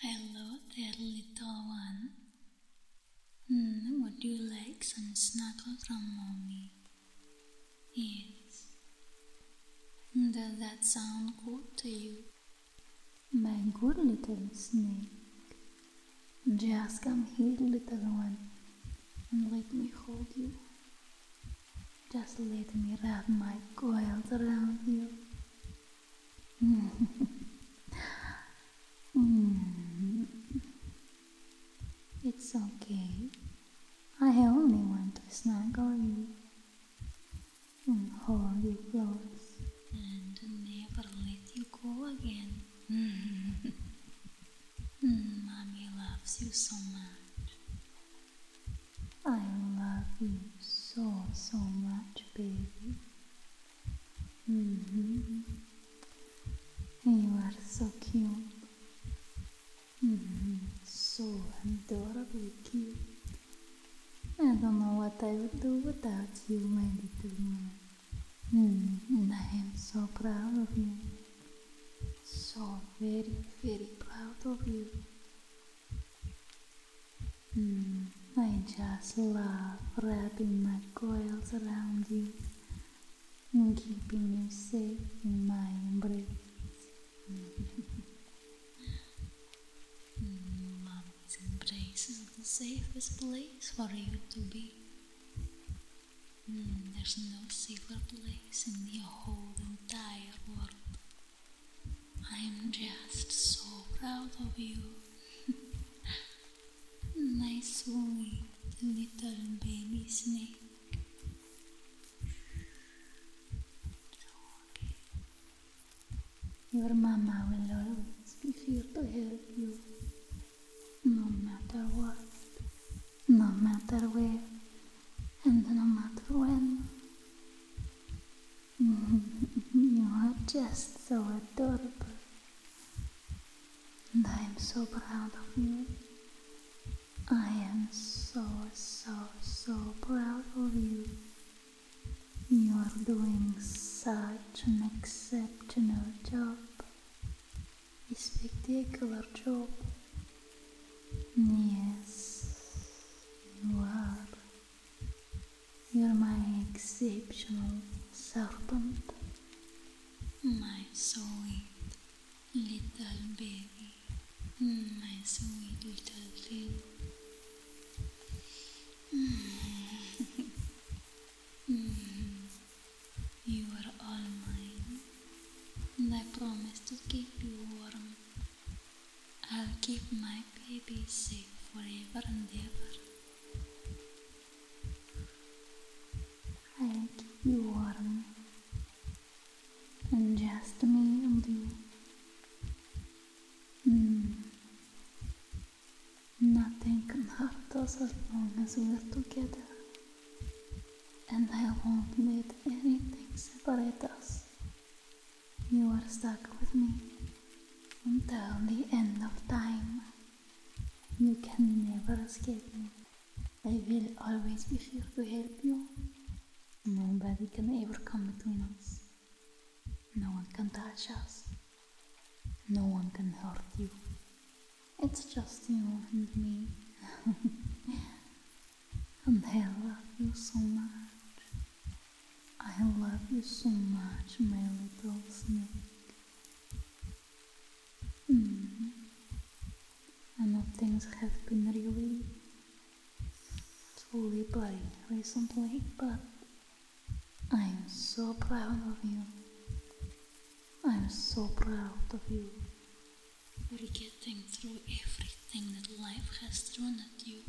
Hello dear little one. Mm, would you like some snuggle from mommy? Yes. Does that sound good to you? My good little snake. Just come here, little one, and let me hold you. Just let me wrap my coils around you. Mm. It's okay. I only want to snuggle you and hold you close and never let you go again. Mm, mommy loves you so much. I love you so, so much, baby. Mm-hmm. Uhum. You are uhum. so cute. So adorably cute. I don't know what I é would do without you, my little man. Mm, é? uhum. and I é am so proud of you. So very, very proud of you. Hmm, I just love wrapping my coils around you and keeping you safe in my embrace. Mommy's embrace is the safest place for you to be. Hmm, there's no safer place in the whole entire world I'm just so proud of you. nice the little baby snake. Your mama will always be here to help you, no matter what, no matter where, and no matter when. Mm-hmm. you are just so adorable. And I am so proud of you. I am so, so, so proud of you. You are doing such an exceptional job. A spectacular job. Yes, you are. You're my exceptional serpent, my sweet little baby, my sweet little thing. you are all mine, and I promise to keep you warm. I'll keep my baby safe forever and ever i keep you warm and just me and you. Nothing can hurt us as long as we're together, and I won't let anything separate us. You are stuck with me until the end of time. You can never escape me. I will always be here to help you. Nobody can ever come between us. No one can touch us. No one can hurt you. It's just you and me. and I love you so much. I love you so much, my little snake. I know things have been really totally bloody recently, but I'm so proud of you. I'm so proud of you for getting through everything that life has thrown at you.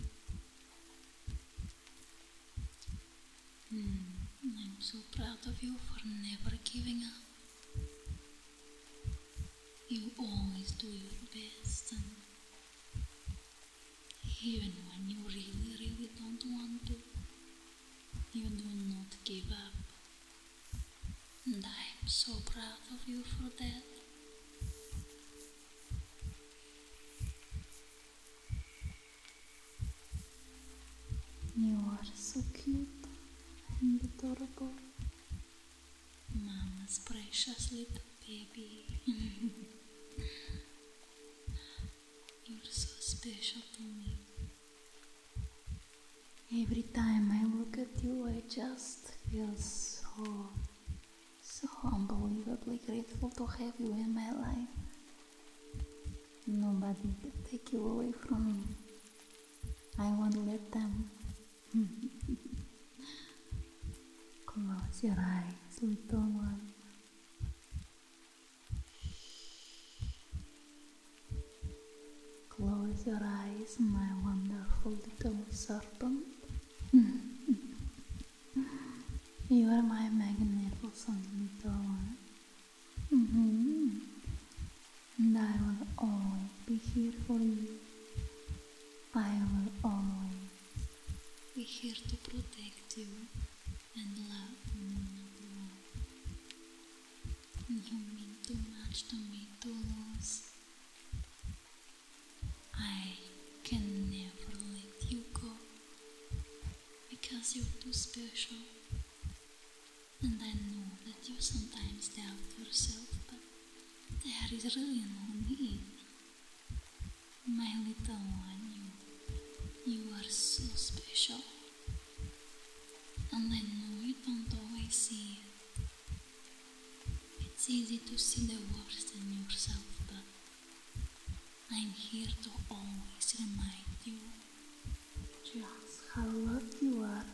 Hmm, I'm so proud of you for never giving up. You always do your best, and even when you really, really don't want to, you do not give up. And I am so proud of you for that. You are so cute and adorable. Mama's precious little baby. You're so special to me. Every time I look at you, I just feel so, so humble, incredibly grateful to have you in my life. Nobody can take you away from me. I won't let them. Close your eyes, little one. Close your eyes, my wonderful little serpent. You are my magnet for something to want. Mm-hmm. And I will always be here for you. I will always be here to protect you and love you You mean too much to me to lose. I can never let you go because you're too special. And I know that you sometimes doubt yourself, but there is really only me, My little one, you, you are so special. And I know you don't always see it. It's easy to see the worst in yourself, but I'm here to always remind you just how loved you are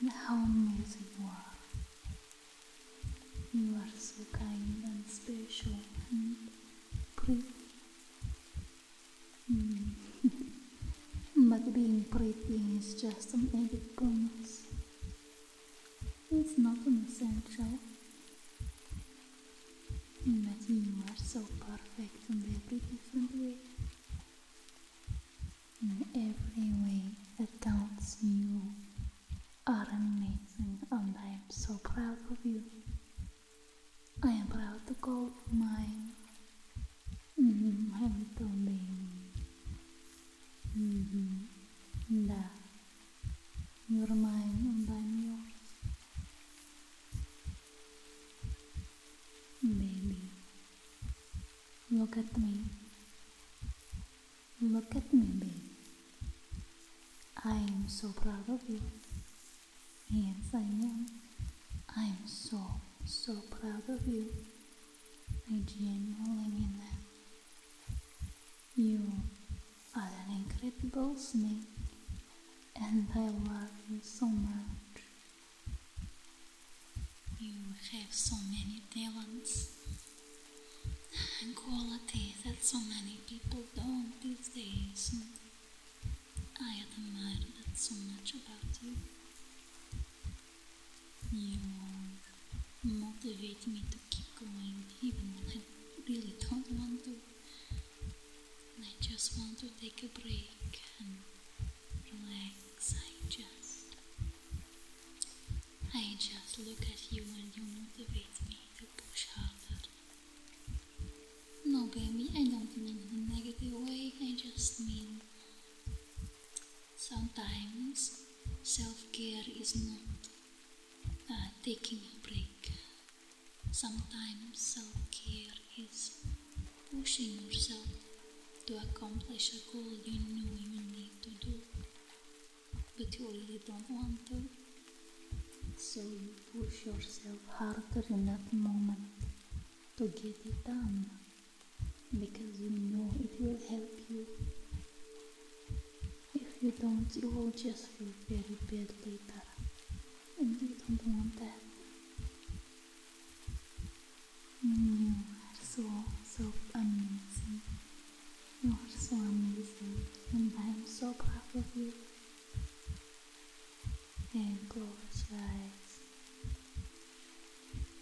and how amazing you are. You are so kind and special and pretty. Hmm. but being pretty is just an added bonus. It's not essential. Imagine you are so perfect in every different way. In every way that counts, you are amazing and I am so proud of you. I am proud to call mine my mm-hmm, little baby. -hmm. Да, your mind, mine and i yours. Baby, look at me. Look at me, baby. I am so proud of you. Yes, I am. I am so, so proud of you. I genuinely mean that. You are an incredible snake, and I love you so much. You have so many talents and qualities that so many people don't these days. I admire that so much about you. You motivate me to keep going even when I really don't want to. I just want to take a break and relax. I just, I just look at you and you motivate me to push harder. No, baby, I don't mean in a negative way. I just mean sometimes self-care is not uh, taking a break Sometimes self care is pushing yourself to accomplish a goal you know you need to do, but you really don't want to. So you push yourself harder in that moment to get it done because you know it will help you. If you don't, you will just feel very bad later, and you don't want that. You are so, so amazing. You are so amazing, and I am so proud of you. And close your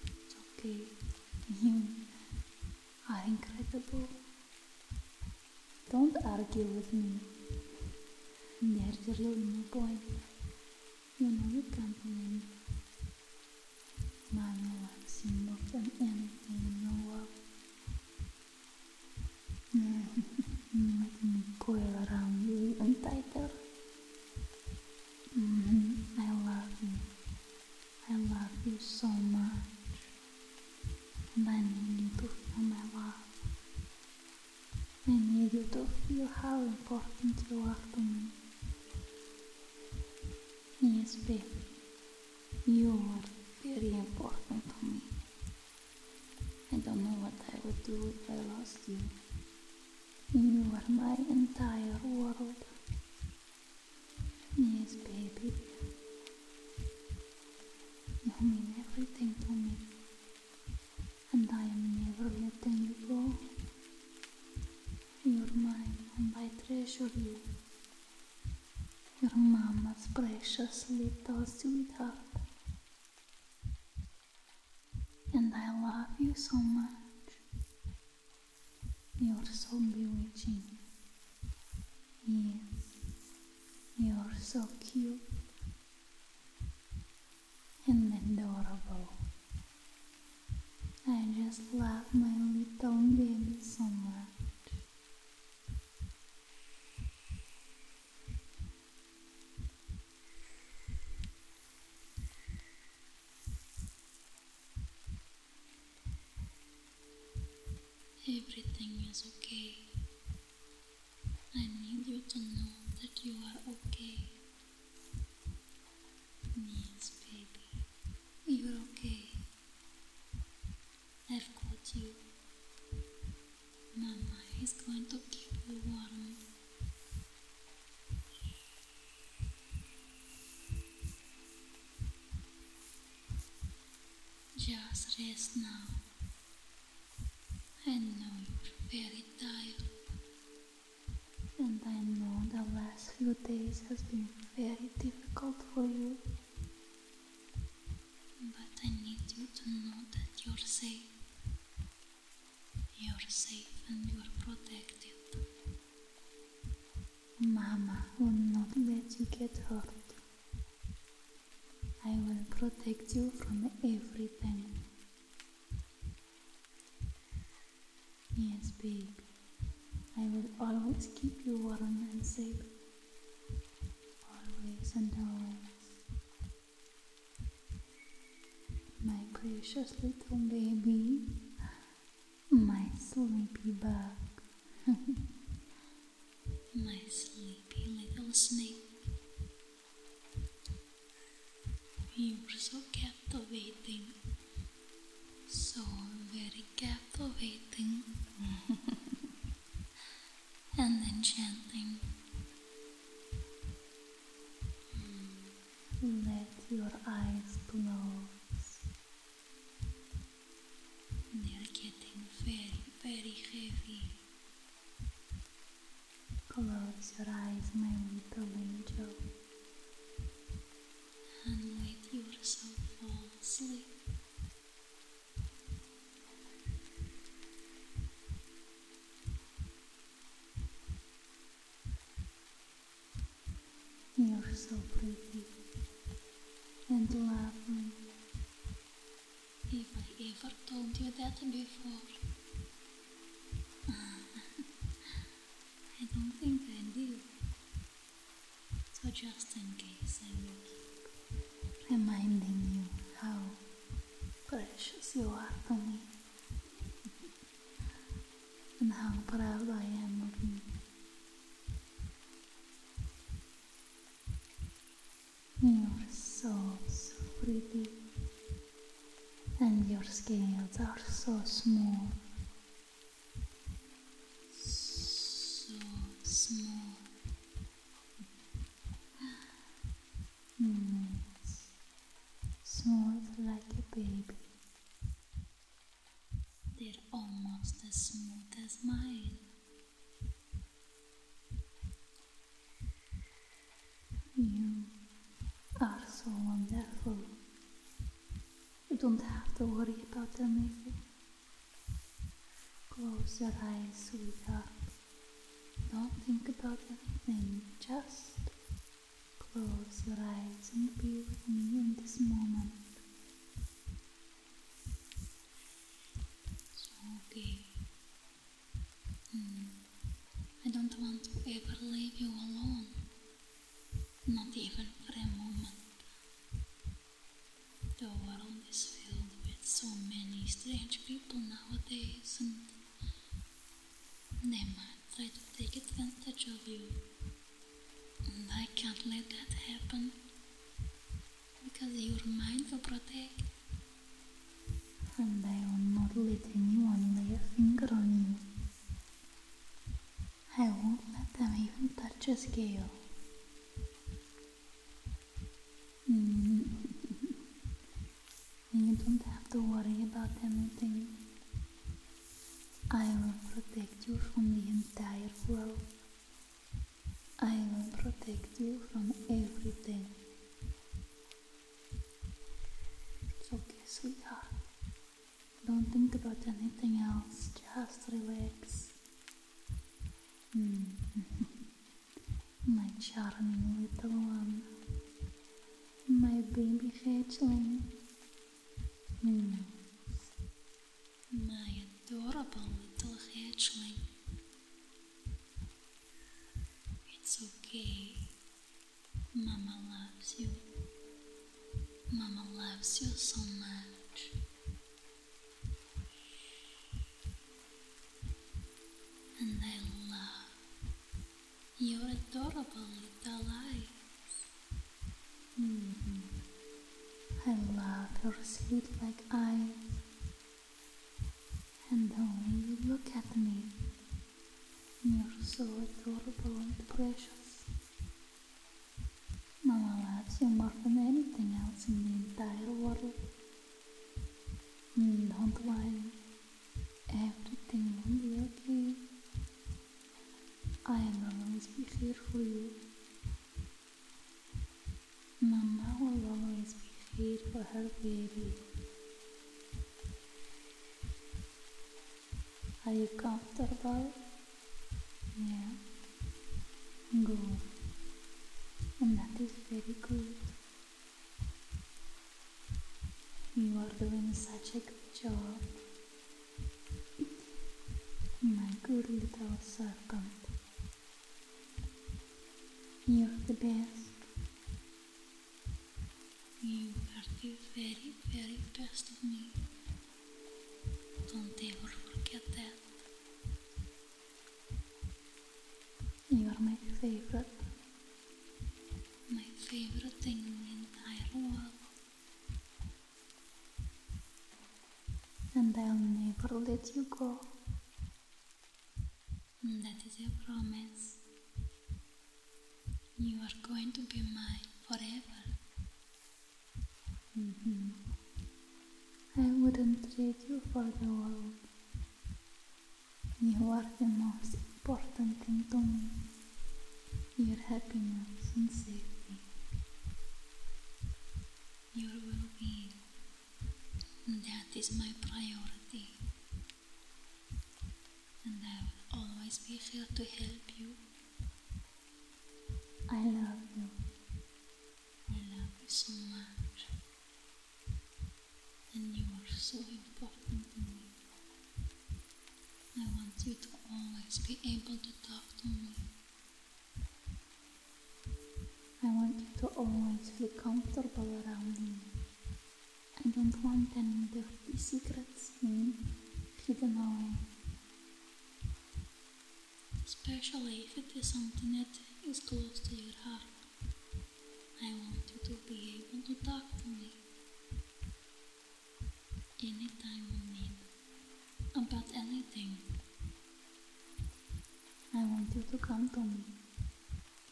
It's okay. You are incredible. Don't argue with me. There's really no point. You know you can't win. Money wants you more than anything in the world. Let me coil around you even tighter. Mm-hmm. I love you. I love you so much and I need you to feel my love. I need you to feel how important you are to me. Yes, baby, you are very important to me. I don't know what I would do if I lost you. You are my entire world. Yes, baby. You mean everything to me, and I am never letting you go. You're mine, and I treasure you. Your mama's precious little sweetheart. And I love you so much. You're so bewitching. Yes, you're so cute and adorable. I just love my little baby so much. Everything is okay. I need you to know that you are okay. Yes, baby, you're okay. I've got you. Mama He's going to keep you warm. Just rest now. I know very tired, and I know the last few days has been very difficult for you. But I need you to know that you're safe. You're safe and you're protected. Mama will not let you get hurt. I will protect you from everything. Yes, baby. I will always keep you warm and safe. Always and always. My precious little baby. My sleepy bug. My sleepy little snake. You're so captivating. So very captivating. and enchanting. Mm. Let your eyes close. They're getting very, very heavy. Close your eyes, my little angel, and let your soul fall asleep. You're so pretty and lovely if I ever told you that before. I don't think I did. So just in case I am reminding you how precious you are to me and how proud I am of you. Your so pretty and your scales are so smooth, So small. Mm. Smooth like a baby. They're almost as smooth as mine. You are so wonderful. You don't have to worry about anything. Close your eyes, sweetheart. Don't think about anything, just close your eyes and be with me in this moment. So Mm. I don't want to ever leave you alone, not even for a moment. The world is filled with so many strange people nowadays, and they might try to take advantage of you. And I can't let that happen because your mind will protect and I will not let anyone lay a finger on you. I won't let them even touch a scale. And you don't have to worry about anything. I will protect you from the entire world. I will protect you from everything. It's okay, sweetheart. Don't think about anything else, just relax. Hmm. My charming little one. My baby hatchling. Hmm. My adorable little hatchling. It's okay. Mama loves you. Mama loves you so much. And I love your adorable little eyes. Mm-hmm. I love your sweet like eyes and the you look at me, you're so adorable and precious. Now I love you more than anything else in the entire world. Don't worry, everything will be okay. I'll always be here for you. Mama will always be here for her baby. Are you comfortable? Yeah. Good. And that is very good. You are doing such a good job. My good little serpent. You're the best. You are the very, very best of me. Don't ever forget that. You are my favorite. My favorite thing in the entire world. And I'll never let you go. Mm, that is your promise. You are going to be mine forever. Mm-hmm. I wouldn't trade you for the world. You are the most important thing to me. Your happiness and safety. Your well-being. That is my priority and I will always be here to help you. I love you. I love you so much. And you are so important to me. I want you to always be able to talk to me. I want you to always feel comfortable around me. I don't want any dirty secrets hidden away. Especially if it is something that is close to your heart. I want you to be able to talk to me anytime you need about anything. I want you to come to me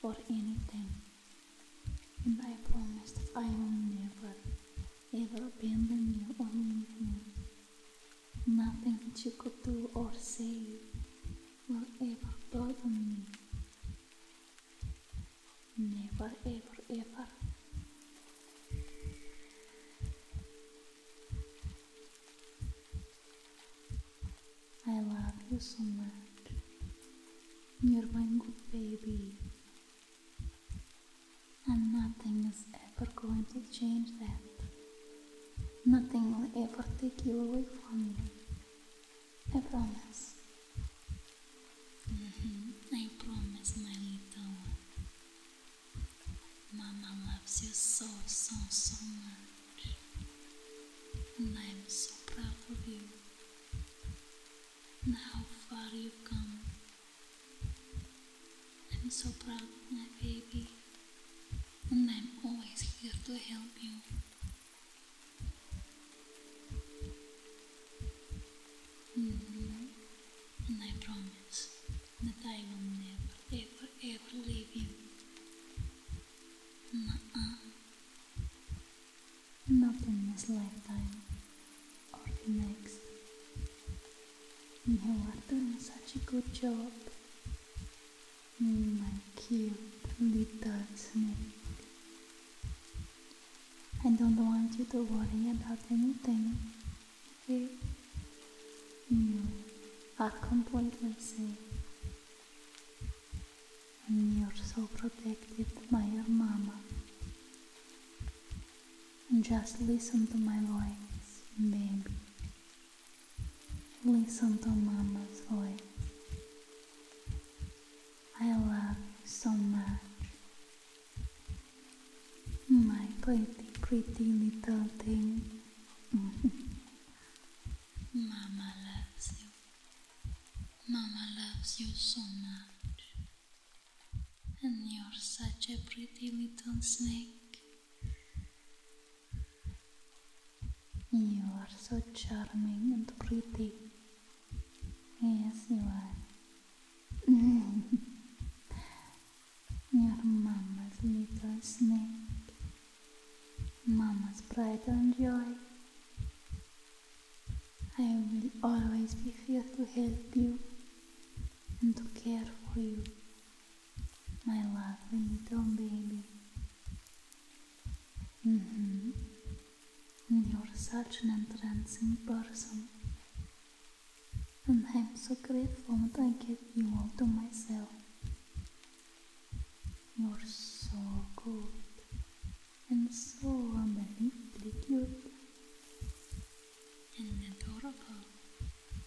for anything. And I promise that I will never, ever abandon you or leave you. Nothing that you could do or say will ever burden me. Never, ever, ever. I love you so much. You're my good baby. And nothing is ever going to change that. Nothing will ever take you away from me. I promise. Mm-hmm. I promise, my little one. Mama loves you so, so, so much. And I'm so proud of you and how far you've come. I'm so proud of my baby, and I'm always here to help you. Mm-hmm. And I promise that I will never, ever, ever leave you. Nuh not in this lifetime or the next. You are doing such a good job, my cute little snake. I don't want you to worry about anything, okay? You are completely safe and you're so protected by your mama. Just listen to my voice, baby. Listen to mama's voice. I love you so much. My pretty, pretty little thing. mama loves you. Mama loves you so much. And you're such a pretty little snake. You are so charming and pretty. Yes, you are. You're mama's little snake. Mama's pride and joy. I will always be here to help you and to care for you, my lovely little baby. Mm-hmm. And You're such an entrancing person. And I'm so grateful that I get you all to myself. You're so good and so unbelievably cute and adorable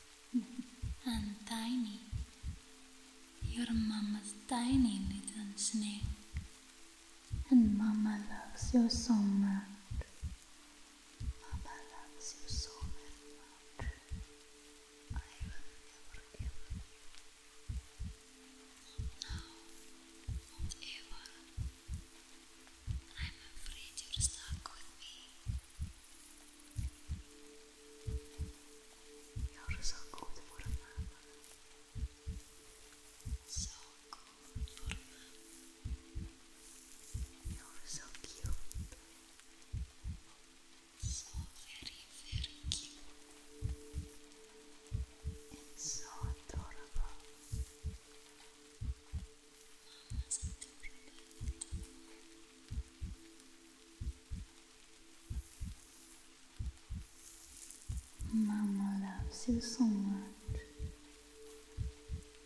and tiny. Your mama's tiny little snake. And mama loves you so much. Mama loves you so much. Now, whatever, I'm afraid you're stuck with me. You're so good for a So good for a You're so cute. So very, very cute. It's so adorable. Mama loves you so much.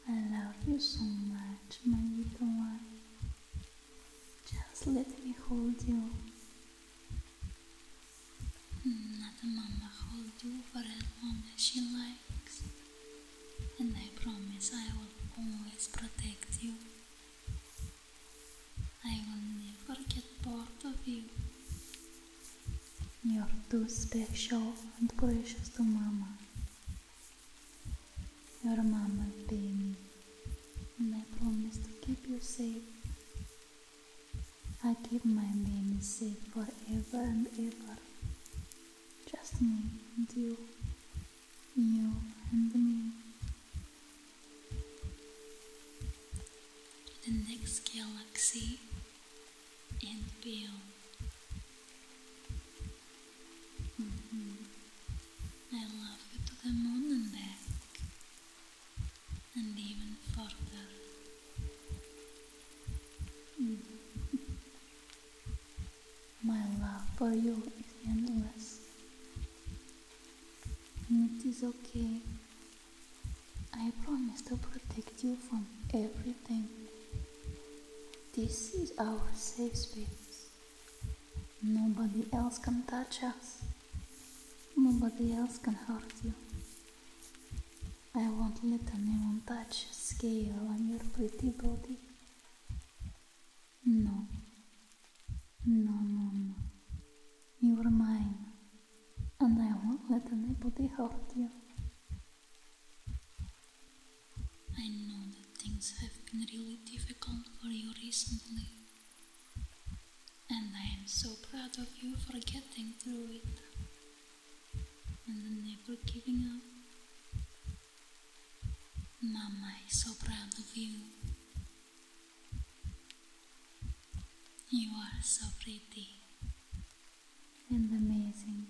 I love you so much, my little one. Just let me hold you Another mama hold you for as long as she likes, and I promise I will always protect you. I will never get bored of you. You're too special and precious to mama. Your mama baby, and I promise to keep you safe I keep my baby safe forever and ever. Just me and you. You and me. The next galaxy and beyond. Mm-hmm. I love you to the moon and back and even further. Mm. My love for you is endless, and it is okay. I promise to protect you from everything. This is our safe space. Nobody else can touch us. Nobody else can hurt you. I won't let anyone touch a scale on your pretty body. No. No, no, You're mine. And I won't let anybody hurt you. I know that things have been really difficult for you recently. And I am so proud of you for getting through it and never giving up. Mama am so proud of you. You are so pretty and amazing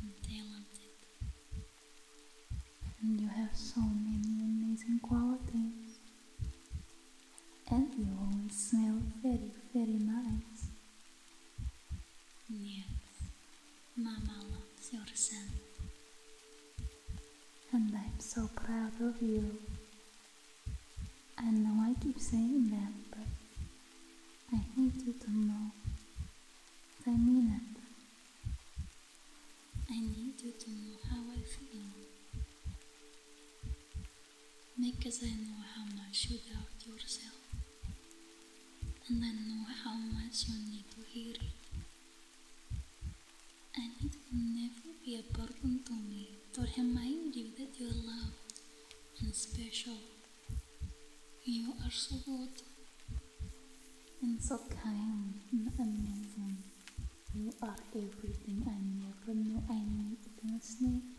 and talented, and you have so many amazing qualities and you always smell very, very nice. Yes, Mama loves your scent. And I'm so proud of you. I know I keep saying that, but I need you to know I mean it. I need you to know how I feel. make as I know how much you doubt yourself, and I know how much you need to hear it. And it will never be a burden to me to remind you that you are loved and special. You are so good and so kind and amazing. You are everything I never knew I needed in a snake.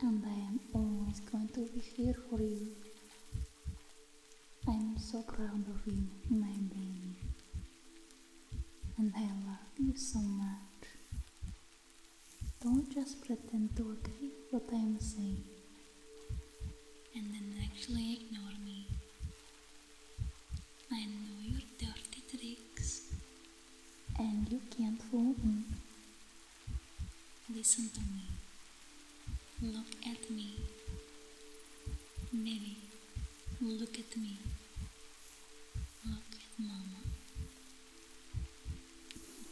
And I am always going to be here for you. I am so proud of you, my baby. And I love you so much. Don't just pretend to agree what I am saying and then actually ignore me. I know your dirty tricks and you can't hold me. Listen to me. Look at me. Baby, look at me. Look mama.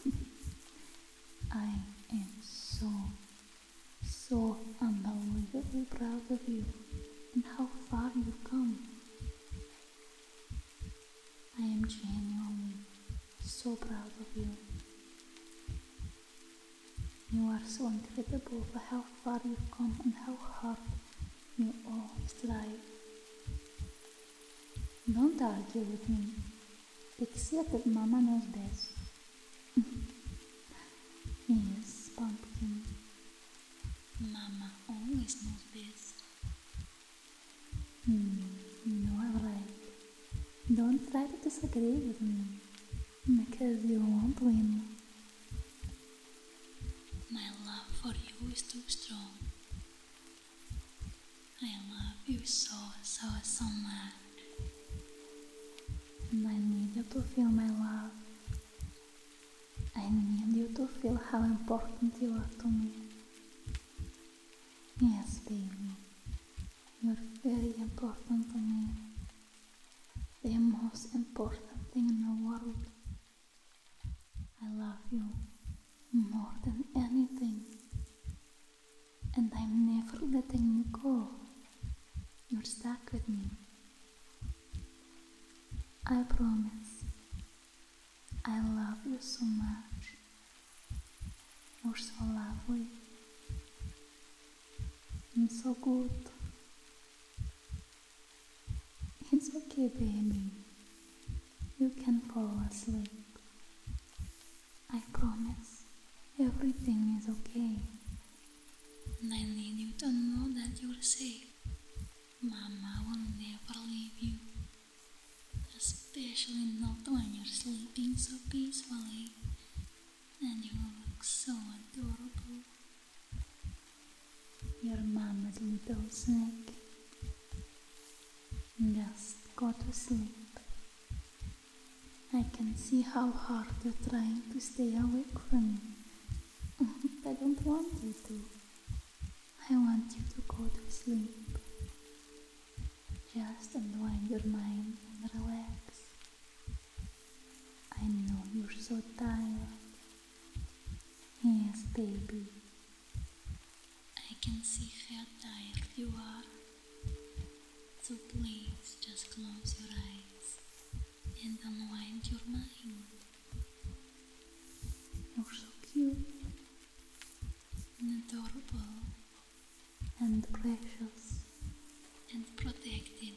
I am so, so unbelievably proud of you and how far you've come. I am genuinely so proud of you. You are so incredible for how far you've come and how hard you always try. Don't argue with me. Pixie that Mama knows best. yes, pumpkin. Mama always knows best. Hum, não no, like, don't try to disagree with me because you won't win. My love for you is too strong. Eu amo você so, so, so much. And I need you to feel my I need you to feel how important you are to me. Yes, baby, you're very important to me. The most important thing in the world. I love you more than anything. And I'm never letting you go. You're stuck with me. I promise I love you so much. You're so lovely and so good. It's okay, baby. You can fall asleep. I promise everything is okay. And I need you to know that you're safe. Mama will never leave you, especially not when you're sleeping so peacefully and you look so adorable. Your mama's little snake. Just go to sleep. I can see how hard you're trying to stay awake from me. I don't want you to. I want you to go to sleep. Just unwind your mind and relax. I know you're so tired. Yes, baby. I can see how tired you are. So please just close your eyes and unwind your mind. You're so cute and adorable and precious and protected.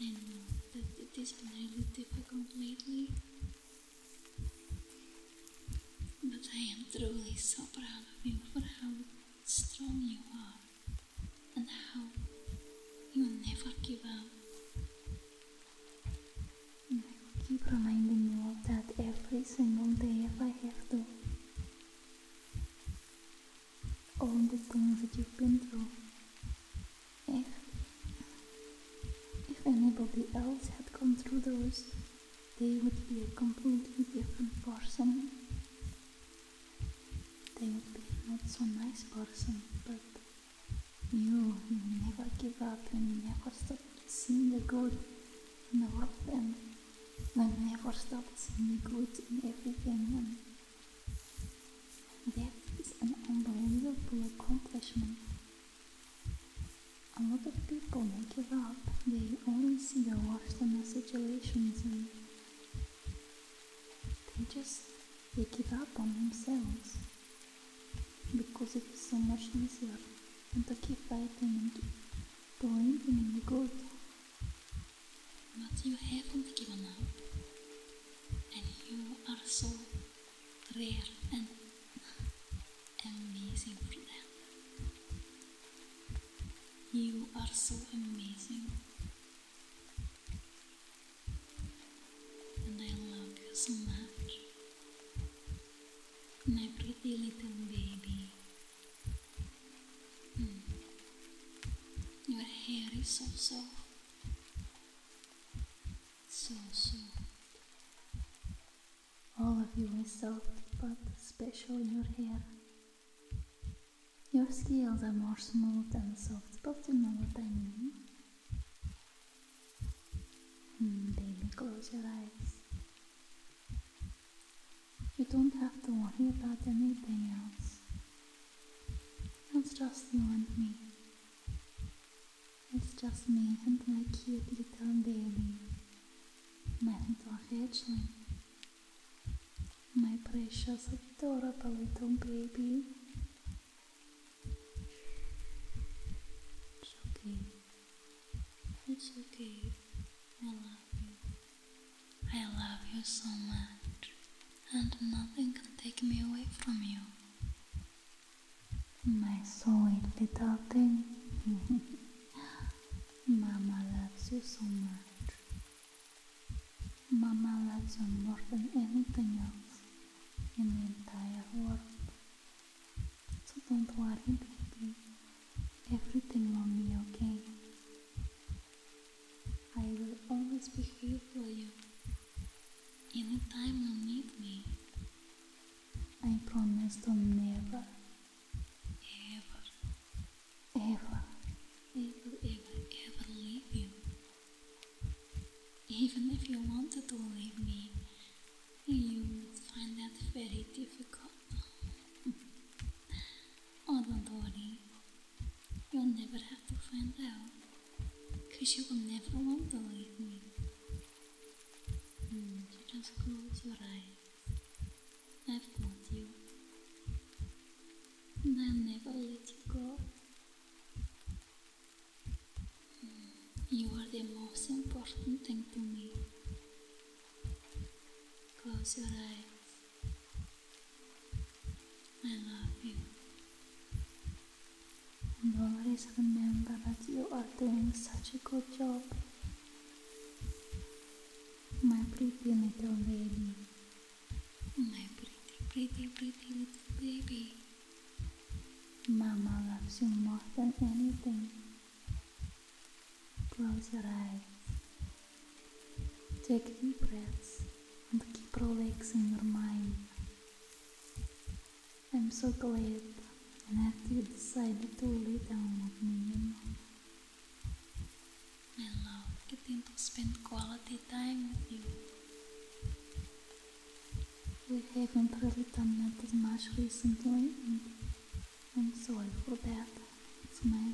I know that it is really difficult lately, but I am truly so proud of you for how strong you are and how you will never give up. And I will keep reminding you of that every single day if I have to. All the things that you've been through. If, if anybody else had gone through those, they would be a completely different person. They would be not so nice person, but you never give up and you never stop seeing the good in the world and you never stop seeing the good in everything and that is an unbelievable accomplishment. A lot of people give up, they only see the worst in the situations and they just they give up on themselves because it is so much easier than to keep fighting and believing in the good. But you haven't given up, and you are so rare and amazing for them. You are so amazing. And I love you so much. My pretty little baby. Mm. Your hair is so soft. So soft. All of you is soft, but special in your hair. Your scales are more smooth and soft, but you know what I mean. Hmm, baby, close your eyes. You don't have to worry about anything else. It's just you and me. It's just me and my cute little baby. My little hatchling. My precious, adorable little baby. It's okay. It's okay. I love you. I love you so much, and nothing can take me away from you. My sweet little thing. Mama loves you so much. Mama loves you more than anything else in the entire world. So don't worry, baby. Everything will be okay. I will always be here for you. Anytime you need me. I promise to never, ever, ever, ever, ever, ever leave you. Even if you wanted to leave me, you would find that very difficult. oh, don't worry. You'll never have to find out, because you will never want to leave me. Hmm, just close your eyes. I've got you. And I'll never let you go. You are the most important thing to me. Close your eyes. I love you. always remember that you are doing such a good job. My pretty little baby. My pretty, pretty, pretty little baby. Mama loves you more than anything. Close your eyes. Take deep breaths and keep relaxing your mind. I'm so glad and happy you decided to lay down with me, you I love getting to spend quality time with you. We haven't really done that as much recently, and I'm sorry for that. It's my,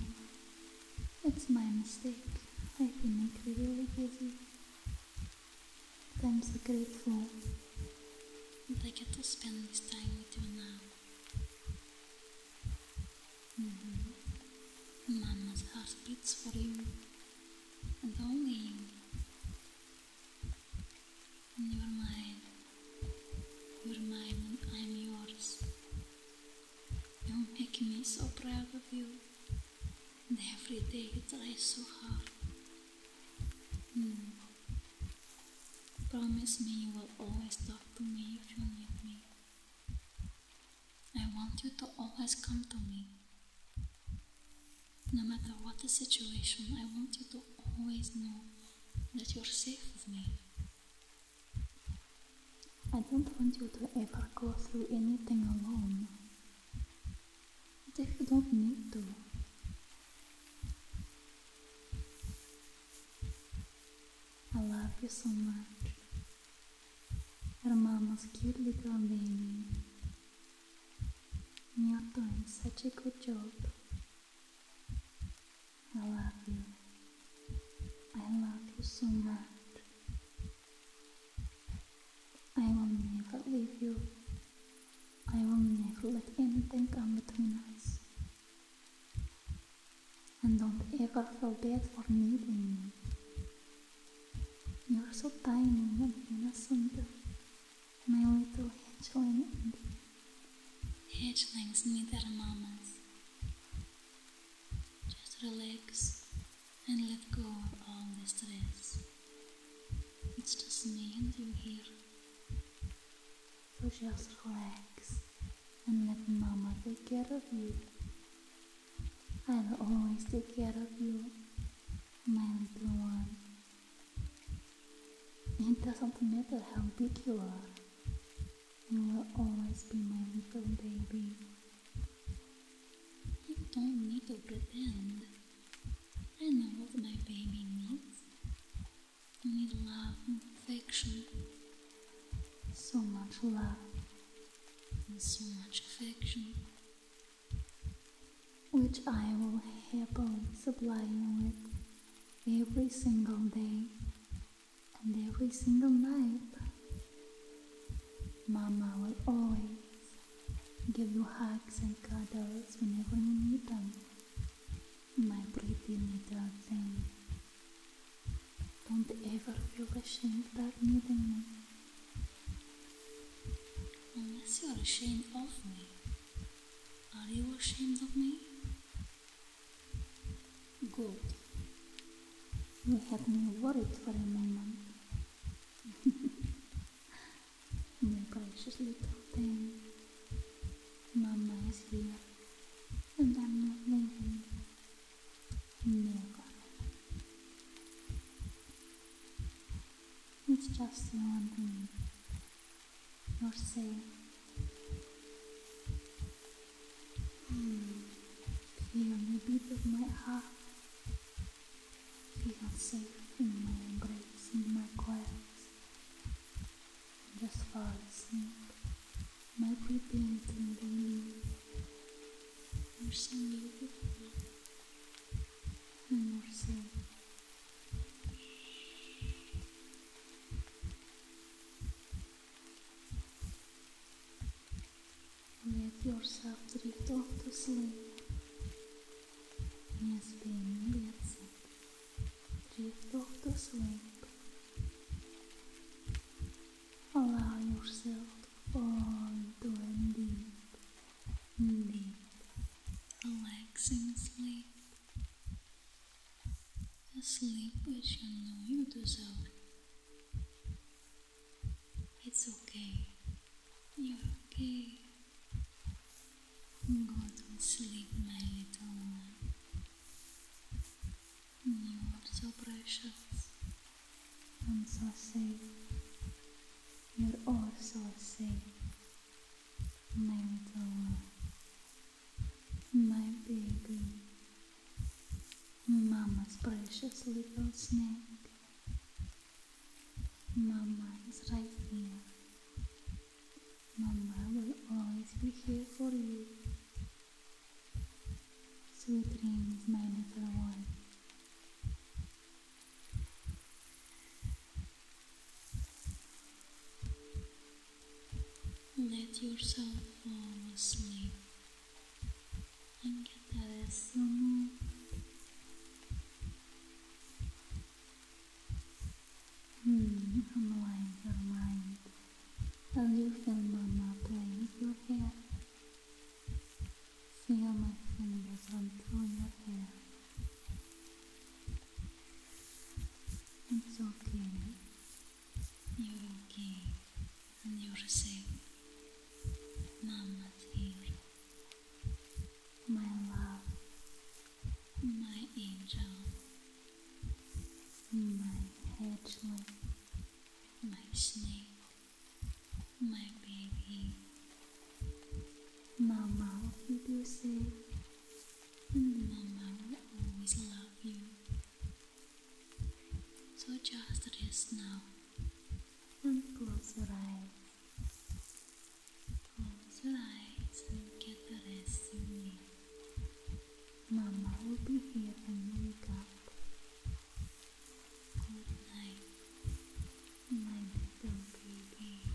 it's my mistake. I've been like really busy. But I'm so grateful that I get to spend this time with you now. Mm -hmm. Mama's heart beats for you, and only you. And you're mine. You're mine and I'm yours. You make me so proud of you. And every day you try so hard. Hmm. Promise me you will always talk to me if you need me. I want you to always come to me. No matter what the situation, I want you to always know that you're safe with me. I don't want you to ever go through anything alone. But if you don't need to, I love you so much. my mama's cute little baby you're doing such a good job. I love you. I love you so much. I will never leave you. I will never let anything come between us. And don't ever feel bad for needing me. You're so tiny and innocent my little hatchling and hatchlings need their mamas. Just relax and let go of all the stress. It's just me and you here. So just relax and let mama take care of you. I'll always take care of you, my little one. It doesn't matter how big you are, you will always be my little baby. You don't need to pretend. I know what my baby needs. I need love and affection. So much love and so much affection which I will happily supply you with every single day and every single night. Mama will always give you hugs and cuddles whenever you need them. My pretty little thing. Don't ever feel ashamed of needing me. Unless you're ashamed of me, are you ashamed of me? Good. You had me worried for a moment. my precious little thing. Mama is here, and I'm not leaving. Never. It's just the one thing noticing hmm, feel the beat of my heart feel safe in my embrace in my coils just fall asleep my pretend and believe nursing you and nursing Let yourself drift off to sleep. Неспение леса. Drift off to sleep. Allow yourself to fall into a deep, deep, relaxing sleep. Asleep as you know you do so. It's okay. You're okay. Go to sleep, my little one. You are so precious and so safe. You're all so safe my little, one, my baby, mama's precious little snake. Mama is right here. Mama will always be here for you. Sweet dreams, my little one. Let yourself fall asleep adesso hmm, unwind your mind while you feel mama playing with your hair feel my fingers until your hair it's okay. You're okay and you're safe. Mama's here. My love, my angel, my hedgehog, my snake, my baby. Mama, will keep you safe and Mama will always love you. So just rest now and close your eyes. Close your eyes and get the rest you need. Mama will be here when you wake up. Good night, my little baby.